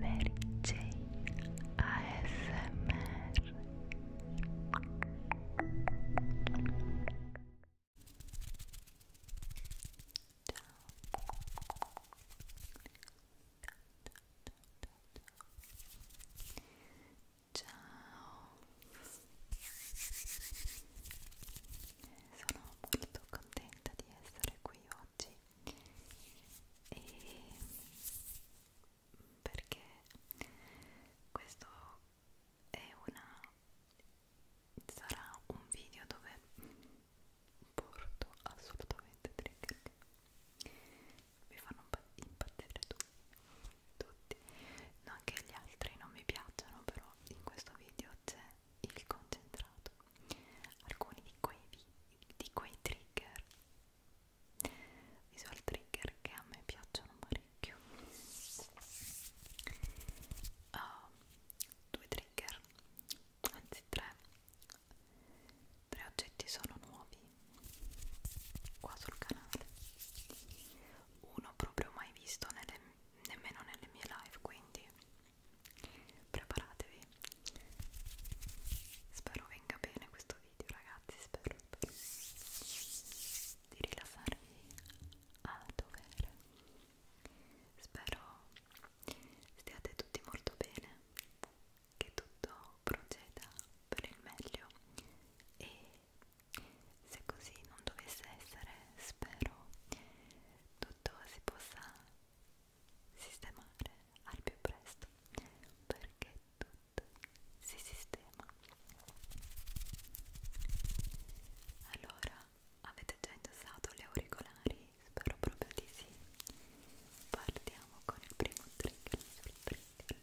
Mary Jane ASMR Ciao Ciao Sono molto contenta di essere qui personaggi e perché questo è una sarà un video dove porto assolutamente trigger mi fanno impazzire tutti non che gli altri non mi piacciono però in questo video c'è il concentrato alcuni di quei, di quei trigger visual trigger che a me piacciono parecchio uh, due trigger anzi tre tre oggetti sono nuovi qua sul canale uno proprio mai visto nelle, nemmeno nelle mie live quindi preparatevi spero venga bene questo video ragazzi spero, spero di rilassarvi a dovere spero stiate tutti molto bene che tutto proceda per il meglio e se così non dovesse essere spero tutto si possa sistemare al più presto perché tutto si sistema allora avete già indossato gli auricolari? spero proprio di sì partiamo con il primo trigger sul trigger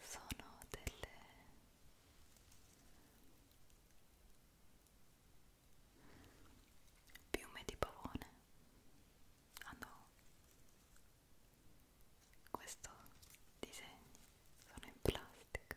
sono delle piume di pavone hanno questo disegno sono in plastica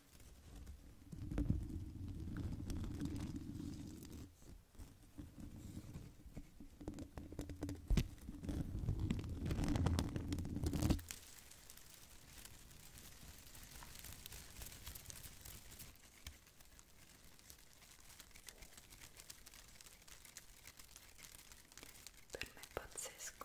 Per me è pazzesco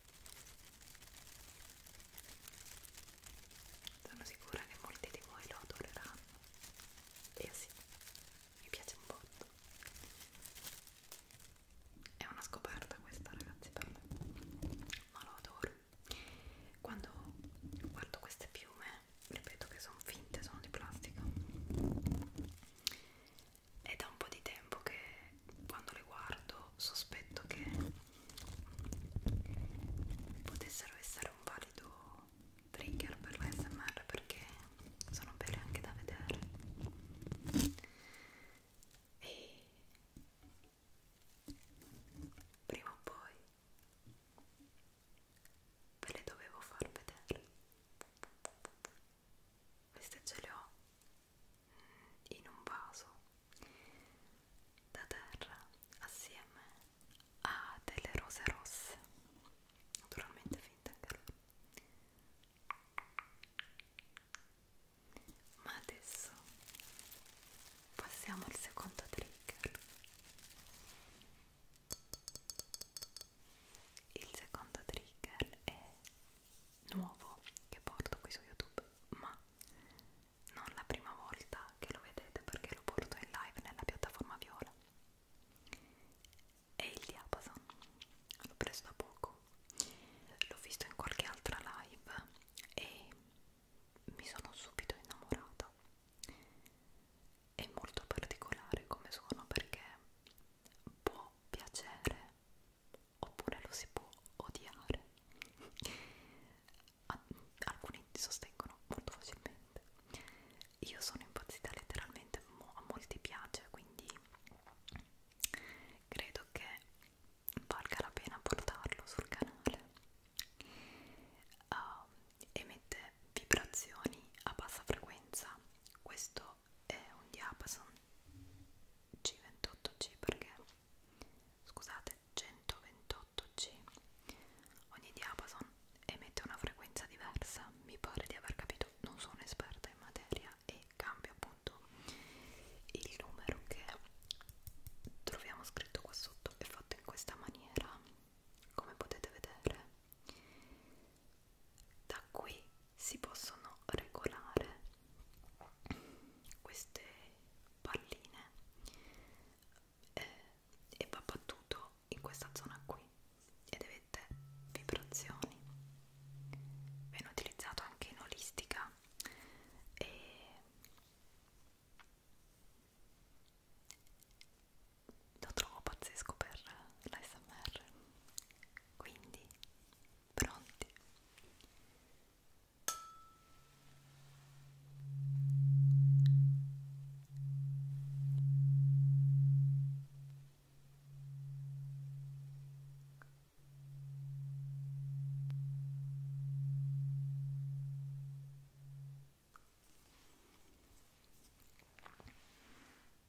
Sono sicura che molti di voi lo adoreranno. E sì, mi piace un botto. È una scoperta questa, ragazzi, per me. Ma lo adoro. Quando guardo queste piume, ripeto che sono finte, sono di plastica è da un po' di tempo che quando le guardo sospetto che potessero essere un valido trigger per la SMR perché sono belle anche da vedere e prima o poi ve le dovevo far vedere queste ce le ho in un vaso da terra assieme a delle rose rosse, naturalmente finte anche loro. Ma adesso passiamo al secondo trigger. Il secondo trigger è nuovo che porto qui su YouTube, ma non la prima volta che lo vedete perché lo porto in live nella piattaforma viola. È il Diapason, l'ho preso da poco, l'ho visto in qualche altra live e mi sono subito innamorata. È molto particolare come suono perché può piacere oppure lo si può odiare. Alcuni sostengono molto facilmente. Io sono impazzita letteralmente, a molti piace, quindi credo che valga la pena portarlo sul canale. Uh, emette vibrazioni a bassa frequenza. Questo questo è un diapason C28C perché scusate 128C ogni diapason emette una frequenza diversa mi pare di aver capito non sono esperta in materia e cambia appunto il numero che troviamo scritto qua sotto è fatto in questa maniera come potete vedere da qui si possono regolare queste palline eh, e va battuto in questa zona qui ed avete vibrazioni viene utilizzato anche in olistica e lo trovo pazzesco per l'ASMR quindi Pronti?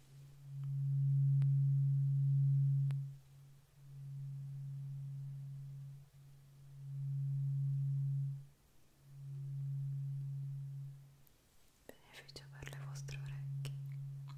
Beneficio per le vostre orecchie. Ora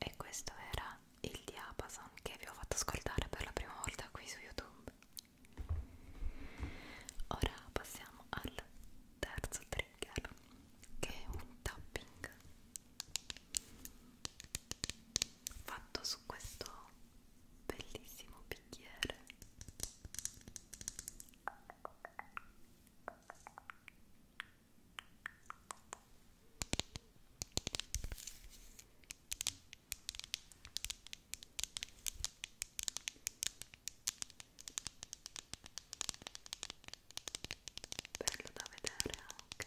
E questo era il diapason che vi ho fatto ascoltare per la prima volta qui su YouTube. Ora passiamo al terzo trigger che è un tapping fatto su questo bellissimo piano bicchiere bello da vedere anche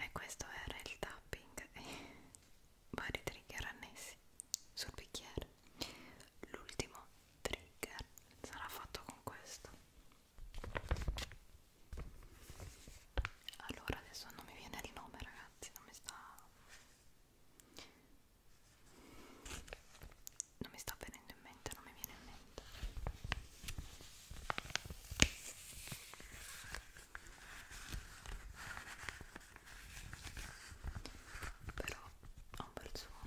e questo era il tapping e vari trigger annessi sul bicchiere l'ultimo trigger sarà fatto con questo allora adesso non mi viene il nome ragazzi non mi sta non mi sta venendo in mente, non mi viene in mente però ha un bel suono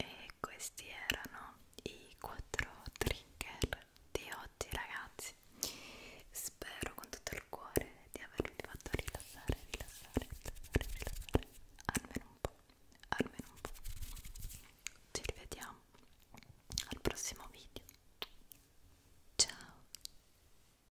E questi erano i quattro trigger di oggi ragazzi. Spero con tutto il cuore di avervi fatto rilassare, rilassare, rilassare, rilassare almeno un po', almeno un po'. Ci rivediamo al prossimo video. Ciao!